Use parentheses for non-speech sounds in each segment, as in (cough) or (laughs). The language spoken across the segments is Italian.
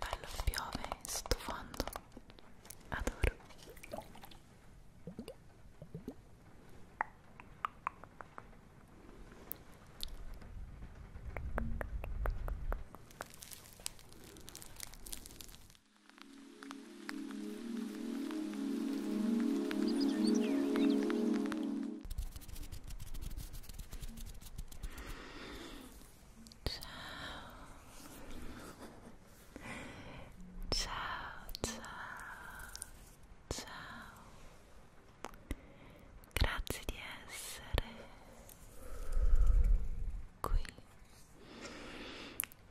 Bello piove in sottofondo. Adoro ciao ciao ciao grazie di essere qui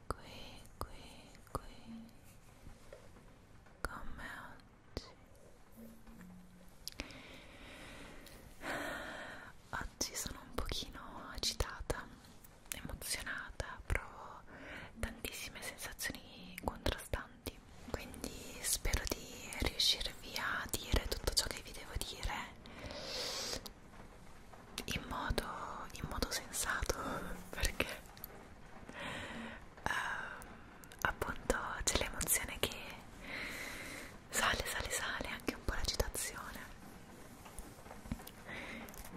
qui qui qui come oggi oggi sono un pochino agitata, emozionata, provo tantissime sensazioni contrastanti, quindi spero di riuscirvi a dire tutto ciò che vi devo dire in modo, in modo sensato (laughs) perché uh, appunto c'è l'emozione che sale sale sale anche un po' l'agitazione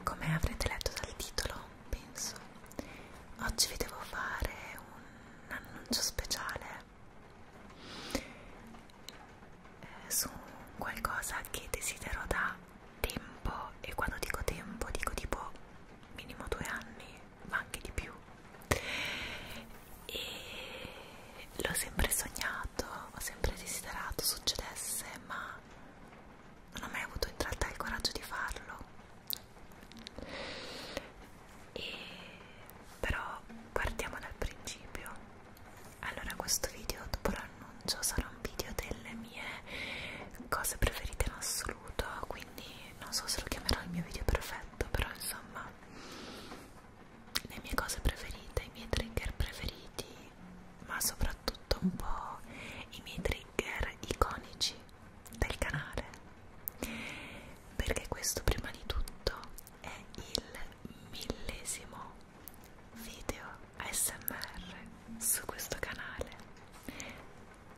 come avrete letto dal titolo penso oggi vi devo fare un annuncio speciale eh, su qualcosa che desidero da tempo e quando dico tempo dico tipo minimo due anni ma anche di più e l'ho sempre sognato, ho sempre desiderato succedesse, ma non ho mai avuto in realtà il coraggio di farlo. E però partiamo dal principio. Allora, questo video dopo l'annuncio sarà un video delle mie cose preferite in assoluto, quindi non so se lo chiamerò il mio video perfetto, però insomma le mie cose preferite, i miei trigger preferiti, ma soprattutto un po' i miei trigger iconici del canale, perché questo prima di tutto è il millesimo video ASMR su questo canale.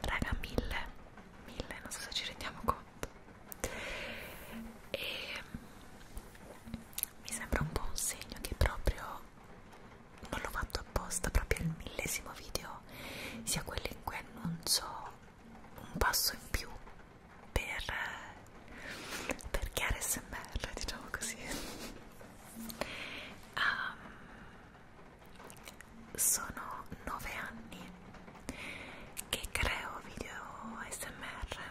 Raga, mille, mille, non so se ci rendiamo conto. E mi sembra un po' un segno che proprio non l'ho fatto apposta, proprio il millesimo video sia quello in cui annuncio un passo in più per, per chiare smr, diciamo così. Um, (laughs) sono nove anni che creo video smr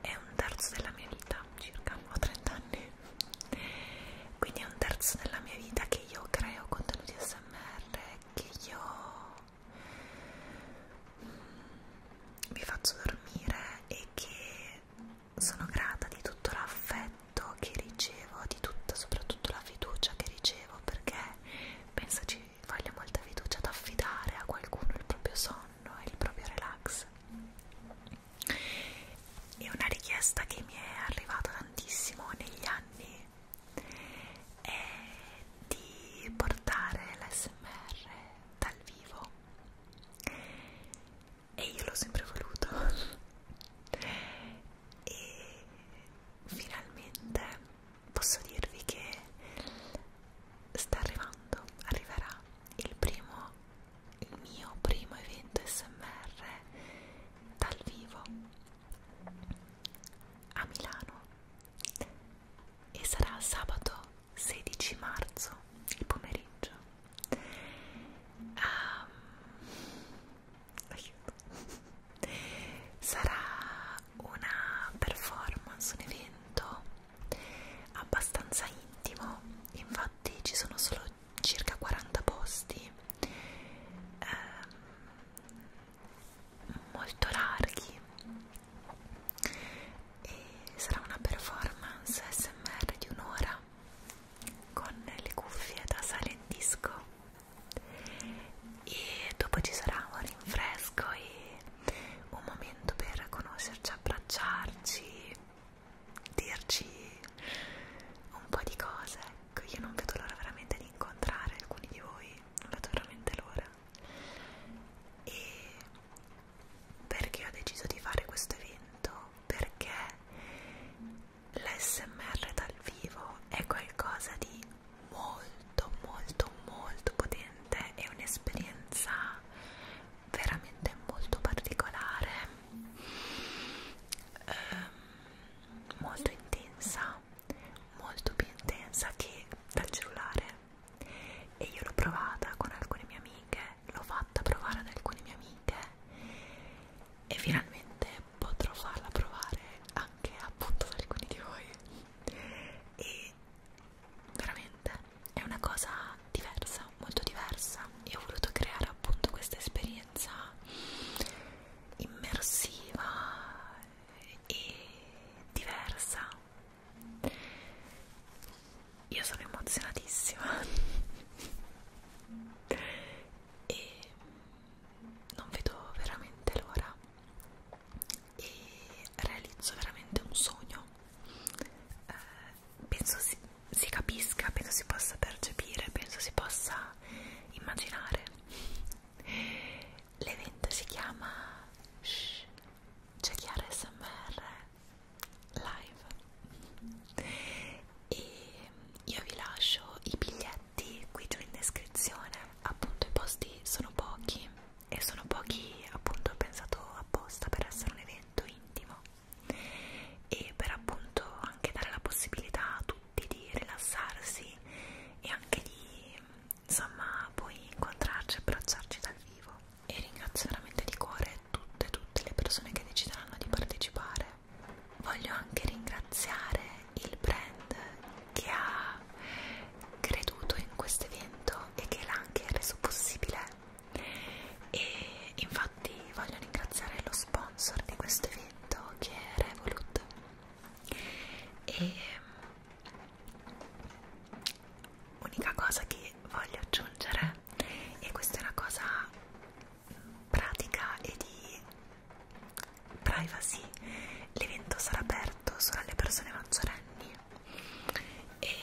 è un terzo della mia vita, circa ho 30 anni, quindi è un terzo della mia vita che io creo contenuti SMR, che io vi mm, faccio dormire e che sono grata di tutto l'affetto che ricevo, di tutta, soprattutto la fiducia che ricevo, perché penso ci voglia molta fiducia ad affidare a qualcuno il proprio sonno sonno e il proprio relax e una richiesta che mi è arrivata tantissimo negli anni è di portare l'SMR dal vivo e io l'ho sempre voluto e finalmente posso dirvi che sta arrivando, arriverà il primo, il mio primo evento SMR dal vivo a Milano e sarà sabato 16 marzo il pomeriggio um, aiuto sarà una performance un evento abbastanza intimo, infatti ci sono solo circa 40 posti eh, molto larghi e sarà una performance smr di un'ora con le cuffie da silent disco e dopo ci sarà un rinfresco e un momento per conoscerci, abbracciarci, dirci un po' di cose. Ecco, io non vedo l'ora veramente di incontrare alcuni di voi, non vedo veramente l'ora. E perché ho deciso di fare questo evento? Perché l'SMR dal vivo è qualcosa di molto molto molto potente, è un'esperienza veramente molto particolare ehm, molto intensa molto più intensa che dal cellulare e io l'ho provata con alcune mie amiche l'ho fatta provare ad alcune mie amiche e finalmente potrò farla provare anche appunto ad alcuni di voi e veramente è una cosa diversa, molto diversa e ho voluto creare appunto questa esperienza immersiva e diversa io sono emozionatissima e non vedo veramente l'ora e realizzo veramente un sogno eh, penso si, si capisca, penso si possa percepire, penso si possa immaginare. L'evento si chiama C'è Chiara SMR Live e io vi lascio i biglietti qui giù in descrizione, appunto i posti sono pochi e sono pochi appunto ho pensato apposta per essere un evento intimo e per appunto anche dare la possibilità a tutti di rilassarsi e anche di insomma poi incontrarci e abbracciarci dal vivo e ringrazio veramente di cuore tutte tutte le persone che decideranno di partecipare voglio anche ringraziare il brand che ha creduto in questo evento e che l'ha anche reso possibile e infatti voglio ringraziare lo sponsor di questo evento che è Revolut e mm, unica cosa che voglio aggiungere e questa è una cosa mm, pratica e di privacy l'evento sarà aperto solo alle persone maggiorenni e,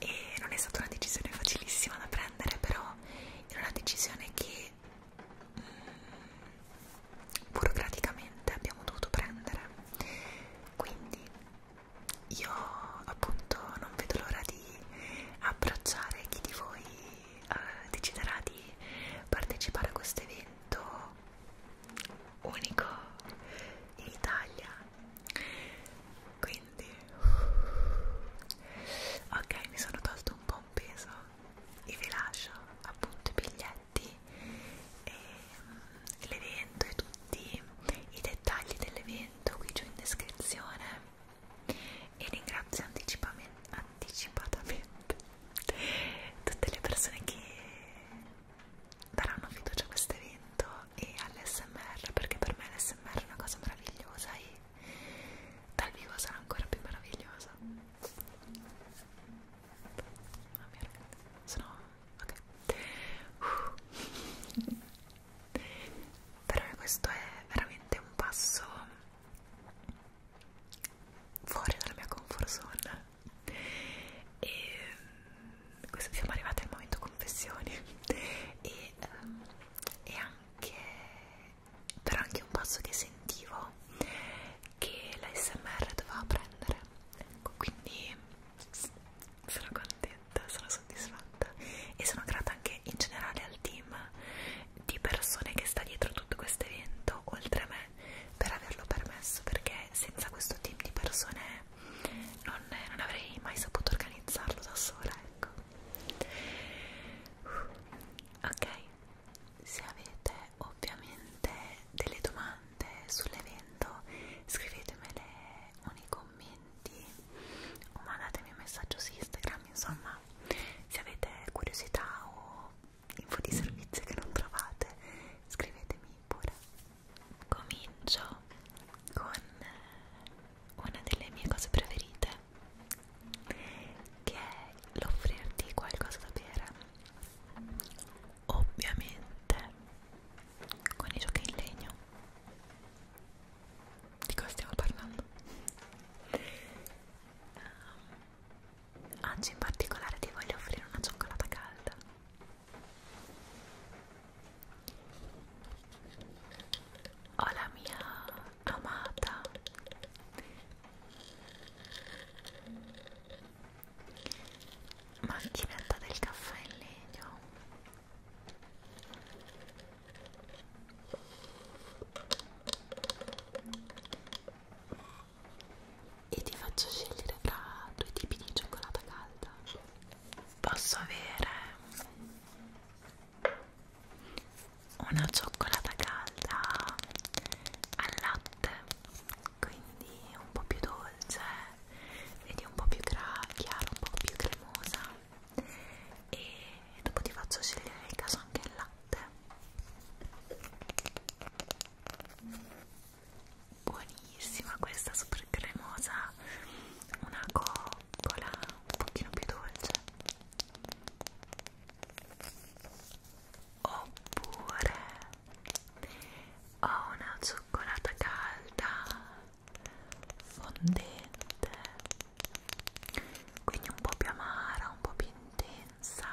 e non è stata una decisione facilissima da prendere però era una decisione che mh, mm, burocraticamente abbiamo dovuto prendere quindi io appunto non vedo l'ora di abbracciare chi di voi eh, deciderà di partecipare a questo evento unico in Italia quindi ok mi sono tolto un po' un peso e vi lascio appunto i biglietti e mm, l'evento e tutti i dettagli dell'evento qui giù in descrizione e ringrazio anticipatamente tutte le persone che daranno fiducia a questo evento e all'SMR perché per me l'SMR è una cosa meravigliosa e dal vivo sarà ancora più meravigliosa. Mamma ah, mia, sono ok. Uh. (laughs) Però questo è veramente un passo fuori dalla mia comfort zone e questo, siamo arrivati al momento confessioni e, um, e anche però anche un passo che sentivo che l'ASMR doveva prendere ecco quindi sono contenta sono soddisfatta e sono grata anche in generale al team di persone che sta dietro tutto questo evento oltre a me per averlo permesso perché senza questo team di persone non, non avrei mai saputo organizzarlo da sola, ecco. Ok, se avete ovviamente delle domande sull'evento, scrivetemele o nei commenti o mandatemi un messaggio su Instagram, insomma, se avete curiosità o info di servizio che non trovate, scrivetemi pure comincio con una delle mie cose preferite che è l'offrirti qualcosa da bere ovviamente con i giochi in legno di cosa stiamo parlando? Um, oggi in particolare ti voglio offrire una cioccolata calda ho la mia amata macchinetta del caffè in legno e ti faccio scegliere tra due tipi di cioccolata calda posso avere una cioccolata calda al latte quindi un po' più dolce vedi un po' più chiara un po' più cremosa e dopo ti faccio scegliere nel caso anche il latte buonissima questa super cremosa una coccola un pochino più dolce oppure ho una cioccolata calda fondente quindi un po' più amara un po' più intensa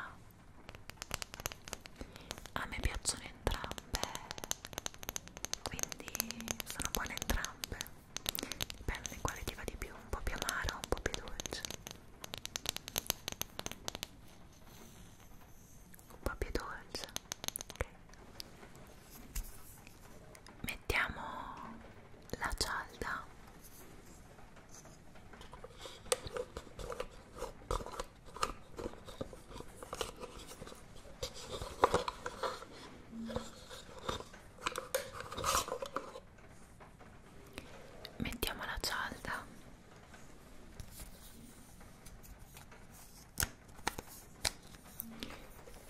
a me piacciono entrambe quindi sono buone entrambe dipende quale ti va di più un po' più amaro un po' più dolce un po' più dolce ok mettiamo la cialda Mettiamo la cialda.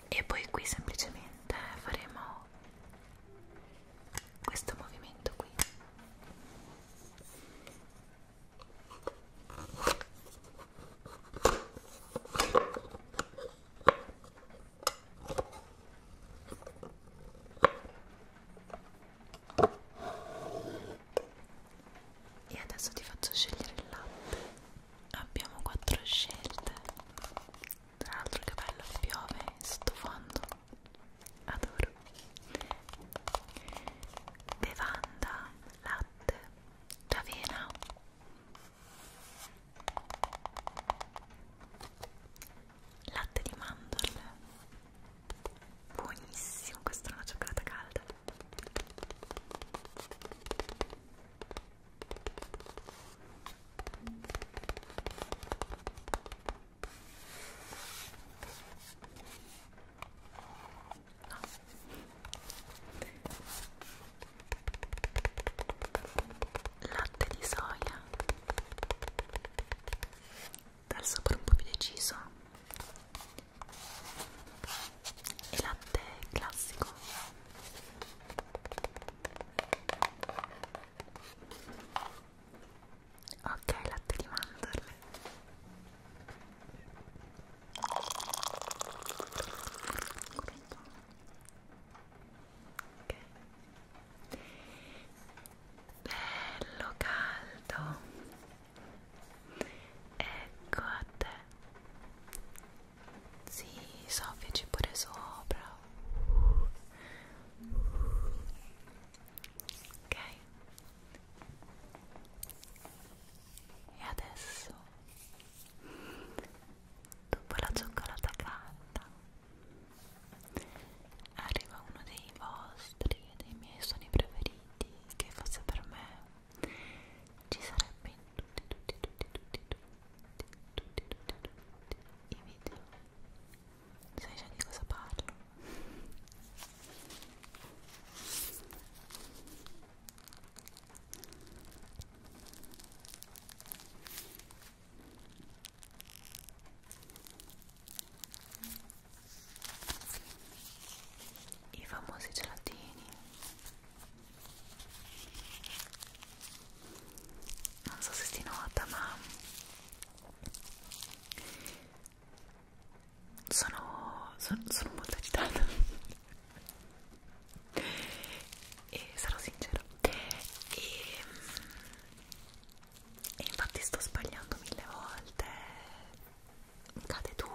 E poi qui semplicemente faremo questo movimento qui. E adesso ti faccio scegliere il latte. Abbiamo quattro scelte. Tra l'altro che bello piove sto fondo. Adoro. Bevanda, latte, d'avena latte di mandorle buonissimo questa è una cioccolata calda no latte di soia dal sapore un po' più deciso e latte classico ok latte di mandorle ok bello caldo ecco a te si sì, soffiaci pure sopra ok e adesso dopo la cioccolata calda arriva uno dei vostri e dei miei suoni preferiti che fosse per me ci sarebbe in tutti tutti tutti tutti tutti tutti tutti tutti i video sai già di cosa parlo i famosi gelatini non so se si nota ma sono, sono, sono molto agitata e sarò sincera e, e infatti sto sbagliando mille volte cade tutto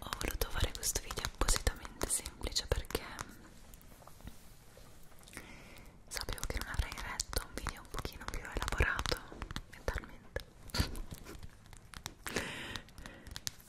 Ho voluto fare questo video appositamente semplice perché sapevo che non avrei retto un video un pochino più elaborato mentalmente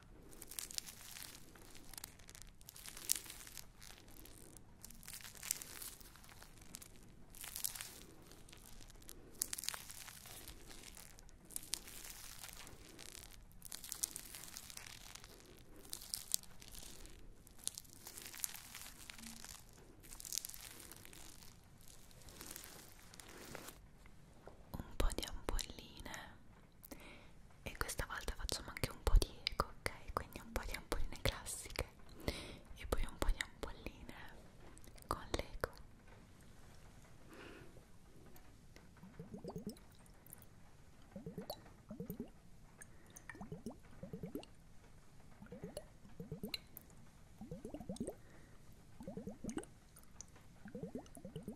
un po' di ampolline e questa volta facciamo anche un po' di eco, ok? Quindi un po' di ampolline classiche e poi un po' di ampolline con l'eco.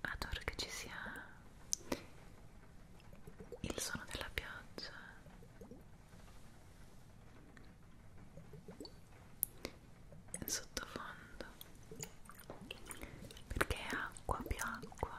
Adoro che ci sia il suono della pioggia in sottofondo perché acqua più acqua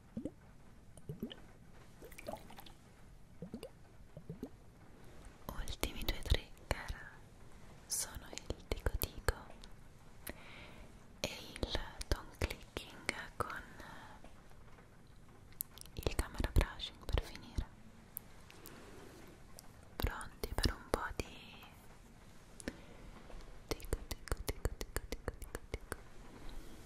Ultimi due trigger sono il dico dico e il tongue clicking con il camera brushing per finire. Pronti per un po' di dico dico dico dico dico dico dico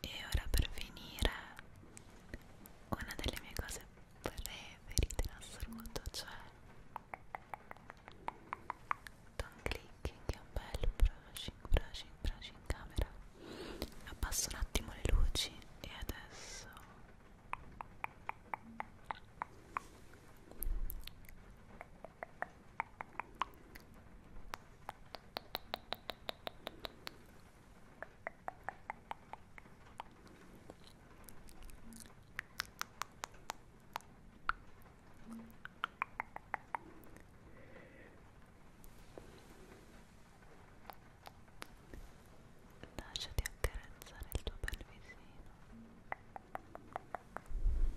E ora per finire, una delle mie cose preferite in assoluto, cioè tongue clicking, un bel brushing, brushing, brushing camera Abbasso un attimo le luci e adesso Lasciati accarezzare il tuo bel visino. Lasciati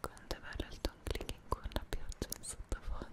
Quanto è bello il ton clicking con la pioggia in sottofondo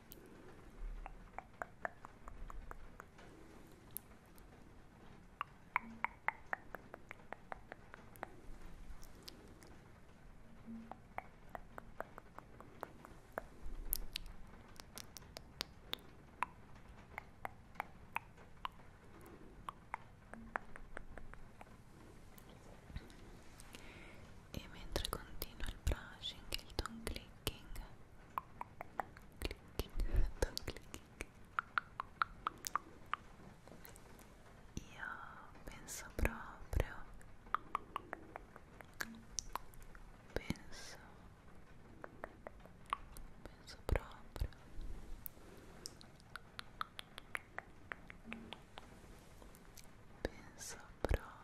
E mentre continua il brushing e il ton click clicking clicking don't clicking io penso proprio penso penso proprio penso proprio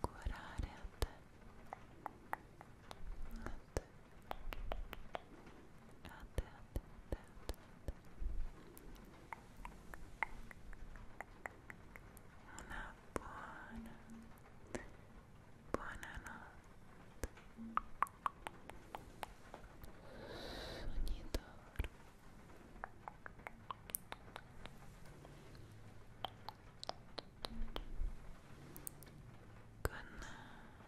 curare a te, a te, a te, a te, a te, a te, a te. una buona, buona notte, sogni d'oro Good night.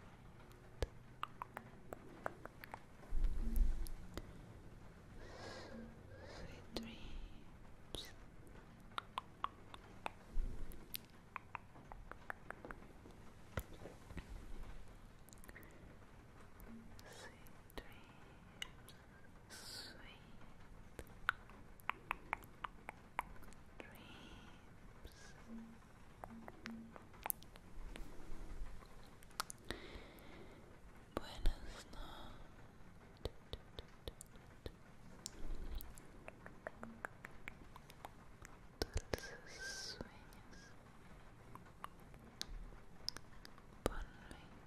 Sweet dreams. Sweet dreams sweet dreams. Buenas noches. Dulces sueños. Bonne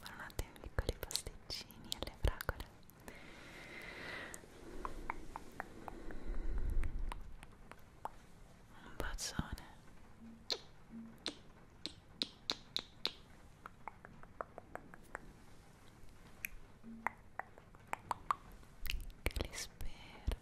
Buonanotte notte ai piccoli pasticcini e alle fragole Un bacione Che li spero